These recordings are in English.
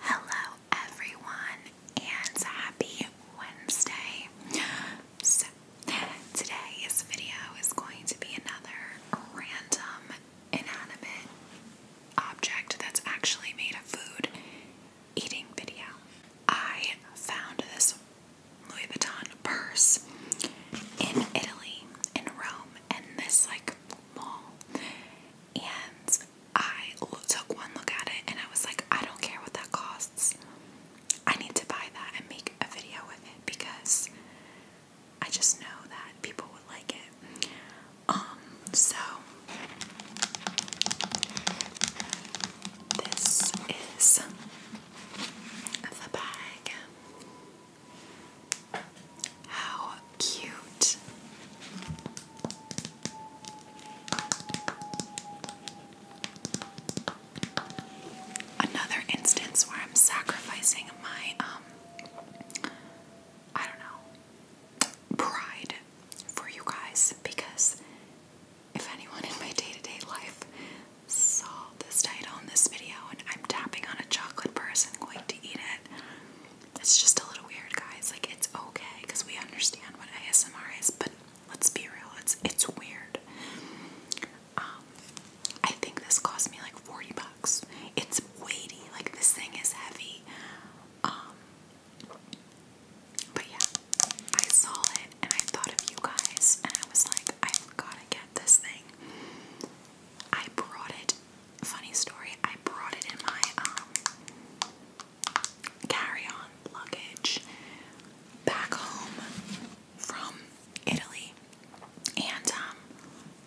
Hello, everyone, and happy Wednesday. So, today's video is going to be another random inanimate object that's actually made of food eating video. I found this Louis Vuitton purse in Italy, in Rome, and this like mall. And I took one look at it and I was like, I don't care what that costs. I need to buy that and make a video with it because I just know that people would like it. Um, so this is the bag. How cute. Another instance where I'm sacrificing my um, I don't know pride for you guys because if anyone in my day-to-day life saw this title in this video and I'm tapping on a chocolate purse and going to eat it, it's just a little weird, guys. Like it's okay because we understand what ASMR is, but let's be real, it's it's weird. Um, I think this cost me like 40 bucks. It's weighty, like this thing is heavy. Um but yeah, I saw it and I thought of you guys and I was like, I've gotta get this thing. I brought it funny story, I brought it in my um carry-on luggage back home from Italy. And um,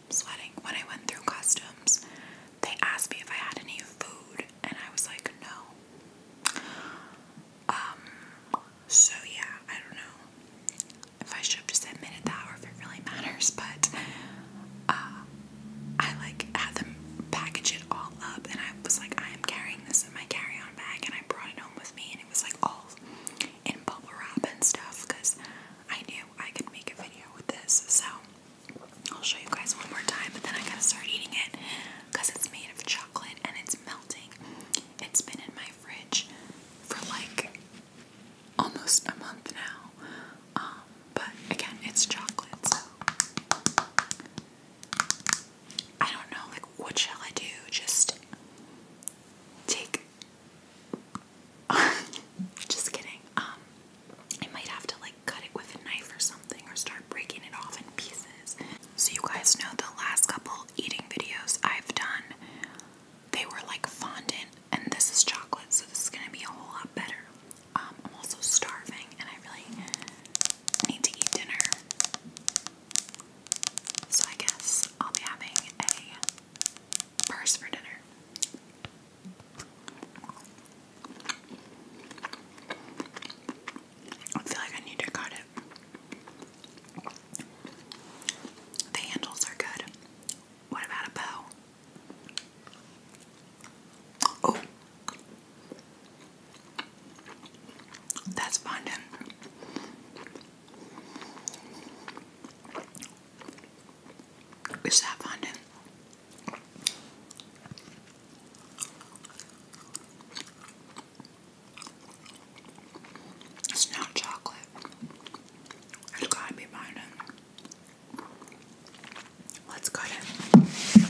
sweating when I went through customs, they asked me if I had any food and I was like no. Um so yeah, I don't know if I should have just admitted that or if it really matters, but uh, I like had them package it all up, and I was like, I am carrying this in my carry-on bag, and I brought it home with me, and it was like all in bubble wrap and stuff because I knew I could make a video with this. So I'll show you guys one more time, but then I gotta start eating it because it's made of chocolate and it's melting. It's been in my fridge for like almost a month now. Um, but again, it's chocolate, so I don't know, like, what shall I do? Just take. Just kidding. Um, I might have to, like, cut it with a knife or something or start breaking it off in pieces. So, you guys know the last couple eating videos I've done, they were like fondant and this is chocolate, so this is gonna be a whole lot better. Um, I'm also starving, and I really need to eat dinner. So I guess I'll be having a purse for dinner. I feel like I need to cut it. The handles are good. What about a bow? Oh, that's fondant. Is that fondant? It's not chocolate. It's gotta be fondant. Let's cut it.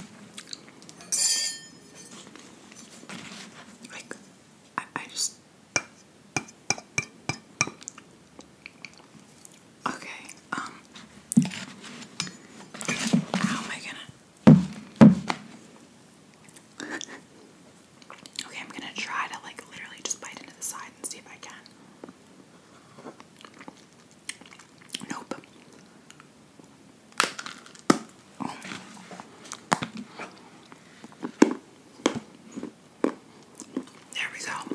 Like, I, I just. Okay, um. How am I gonna. Okay, I'm gonna try to, like, literally just bite into the side and see if I can. Nope. There we go.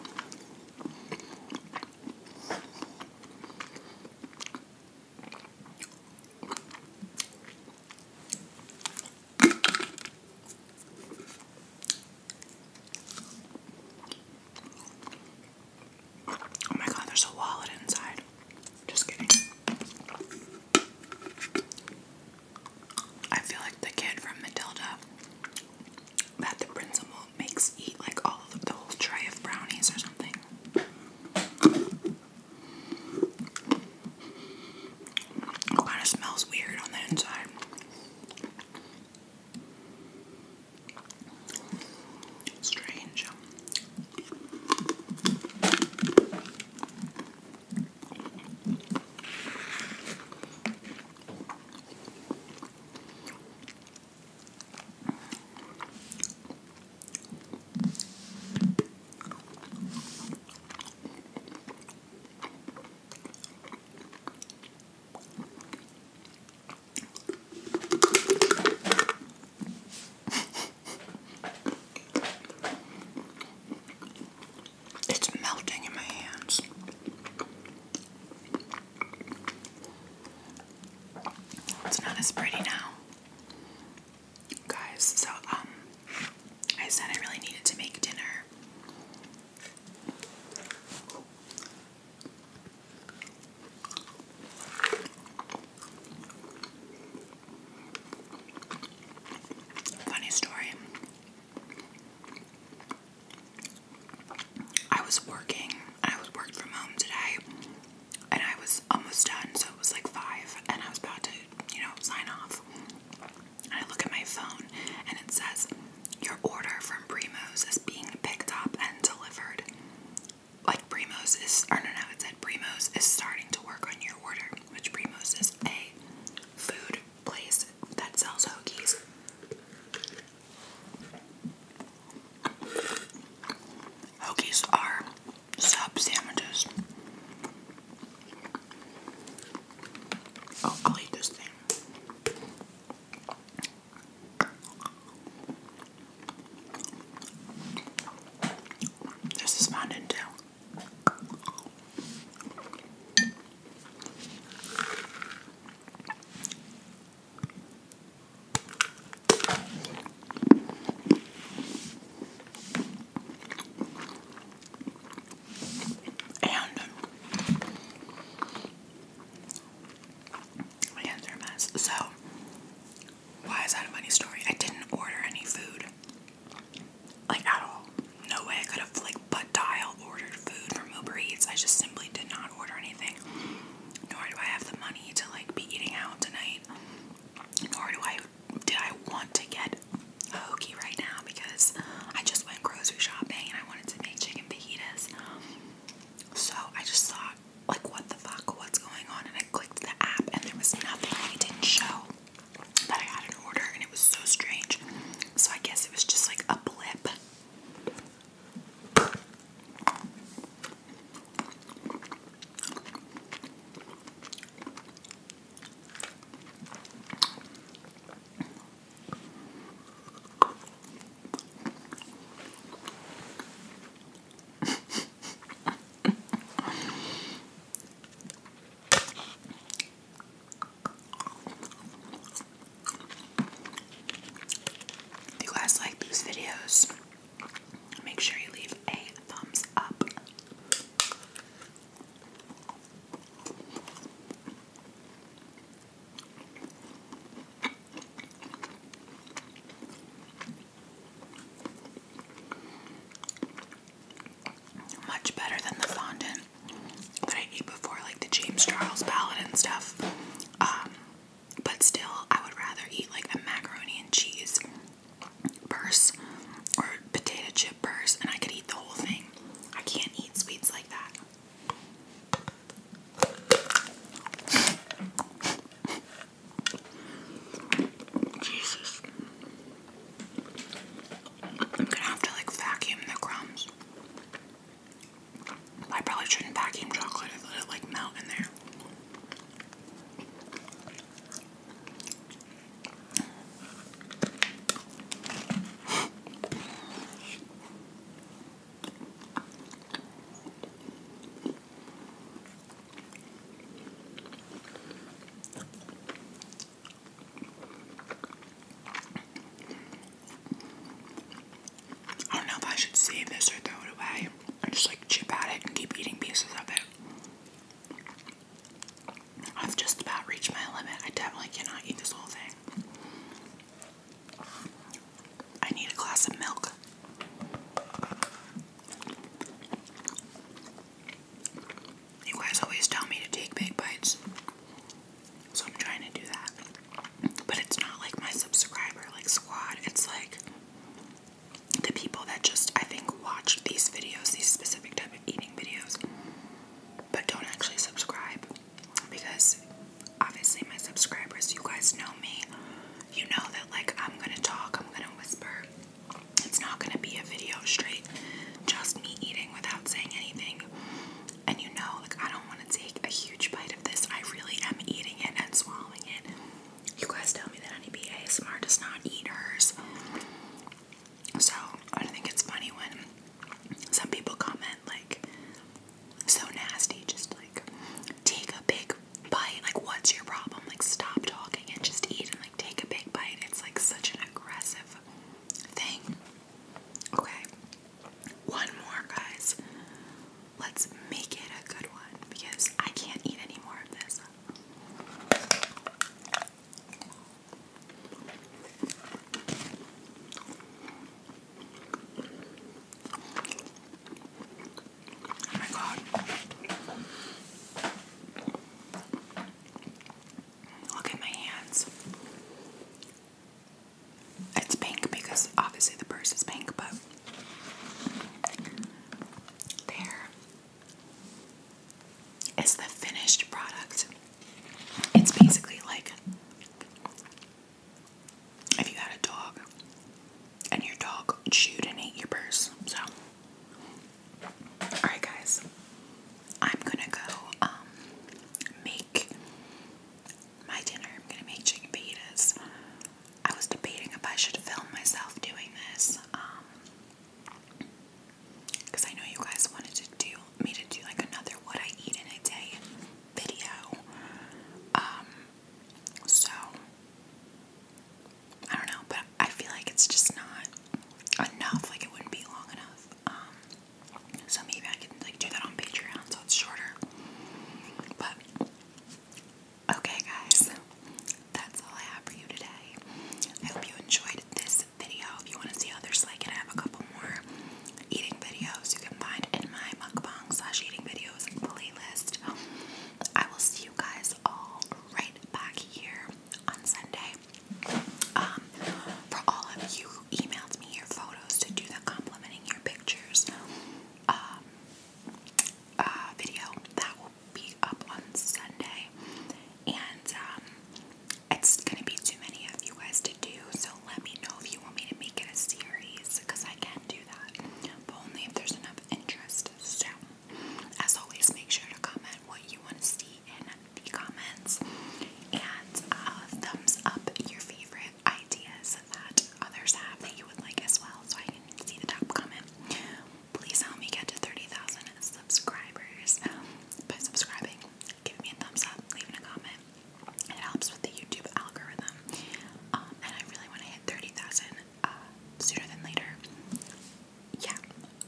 Oh my god, there's a wallet inside. Just kidding. I feel like the kid from Matilda that the principal makes eat like all of the whole tray of brownies or something. It kind of smells weird on the inside. Strange. It's melting in my hands. It's not as pretty now. Guys, so um I said I really needed to make dinner Funny story. I was working. I was worked from home today, and I was almost done. So it was like five, and I was about to, you know, sign off. And I look at my phone, and it says your order from Primo's is being picked up and delivered. Like Primo's is, or no, no, it said Primo's is starting to work on your order, which Primo's is a food place that sells hoagies. Hoagies are sub sandwiches. Oh, I'll eat this thing. This is fun and too. And my hands are a mess. So, why is that a money story? I didn't order any food. Like, at all. No way I could have, like, butt dial ordered food from Uber Eats. I just simply did not order anything. Nor do I have the money to, like, be eating out tonight. Nor do I, did I want to get a hokey right now because I just went grocery shopping and I wanted to make chicken fajitas. So I just saw like, what the fuck, what's going on? And I clicked the app and there was nothing. It didn't show that I had an order and it was so strange. So I guess it was just like a blip. If you guys like these videos, make sure you leave a thumbs up. Much better than the fondant that I ate before, like the James Charles palette and stuff. Um, but still, I would rather eat like a macaroni and cheese purse or potato chip purse, and I could eat the whole thing. I can't eat sweets like that. Jesus. I'm gonna have to like vacuum the crumbs. I probably shouldn't vacuum chocolate and let it like melt in there. I don't know if I should save this or throw it away just like chip at it and keep eating pieces of it. I've just about reached my limit. I definitely cannot eat this whole thing. I need a glass of milk. You guys always tell me to take big bites, so I'm trying to do that. But it's not like my subscriber like squad, it's like the people that just I think watch these videos, these specific type of eating videos, but don't actually subscribe because obviously my subscribers, you guys know me. You know that like I'm gonna talk, I'm gonna whisper. It's not gonna be a video straight, just me eating without saying anything. And you know, like I don't wanna take a huge bite of this. I really am eating it and swallowing it. You guys tell me that Honeybee ASMR does not eat hers. So I don't think it's funny when some people comment like so nasty, just like take a big bite. Like what's your problem? Like stop talking and just eat and like take a big bite. It's like such an aggressive thing. Okay. One more guys. Let's make it a good one because I can't eat any more of this. Oh my god. Look at my hands. It's pink because obviously the purse is pink, but there is the finished product. It's basically like if you had a dog and your dog chewed and ate your purse. So, alright, guys, I'm gonna go um, make my dinner. I'm gonna make chicken fajitas. I was debating if I should film myself doing this. Um, because I know you guys wanted to do me to do like another what I eat in a day video. Um, so I don't know, but I feel like it's just not enough. Like it wouldn't be long enough. Um, so maybe I can like do that on Patreon, so it's shorter. But okay, guys, that's all I have for you today. I hope you enjoyed this video. If you want to see others like it, I have a couple more eating videos you can find in my mukbang slash eating videos playlist. I will see you guys all right back here on Sunday. Um, for all of you who emailed me your photos to do the complimenting your pictures um, uh, video, that will be up on Sunday. And um, it's gonna be too many of you guys to do, so let me know if you want me to make it a series because I can do that, but only if there's enough interest. So, as always, make sure to comment what you want to see in the comments and uh, thumbs up your favorite ideas that others have that you would like as well, so I can see the top comment. Please help me get to 30,000 subscribers by subscribing. Give me a thumbs up, leaving a comment. It helps with the YouTube algorithm. Um, and I really want to hit 30,000 uh, sooner than later. Yeah,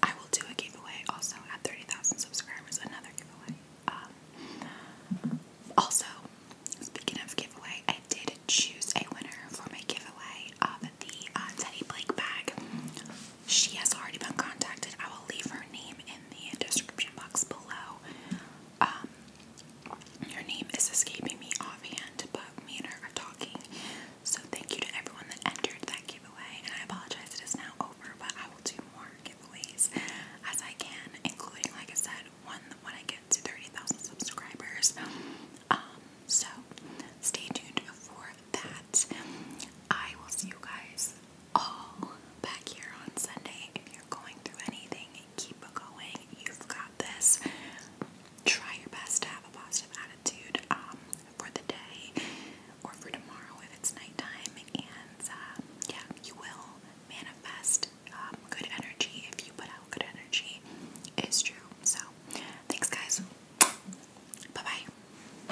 I will do a giveaway also at 30,000 subscribers, another giveaway. Um, also, speaking of giveaway, I did choose a winner for my giveaway of the uh, Teddy Blake bag. She has already been contacted. I will leave her name in the description box below. Um, your name is escaping me offhand, but me and her are talking. So thank you to everyone that entered that giveaway, and I apologize it is now over, but I will do more giveaways as I can, including, like I said, one when I get to 30,000 subscribers. Um, so stay tuned for that. I will see you guys all back here on Sunday. If you're going through anything, keep going. You've got this. Try your best to have a positive attitude um, for the day or for tomorrow if it's nighttime. And um, yeah, you will manifest um, good energy if you put out good energy. It's true. So, thanks, guys. Bye bye.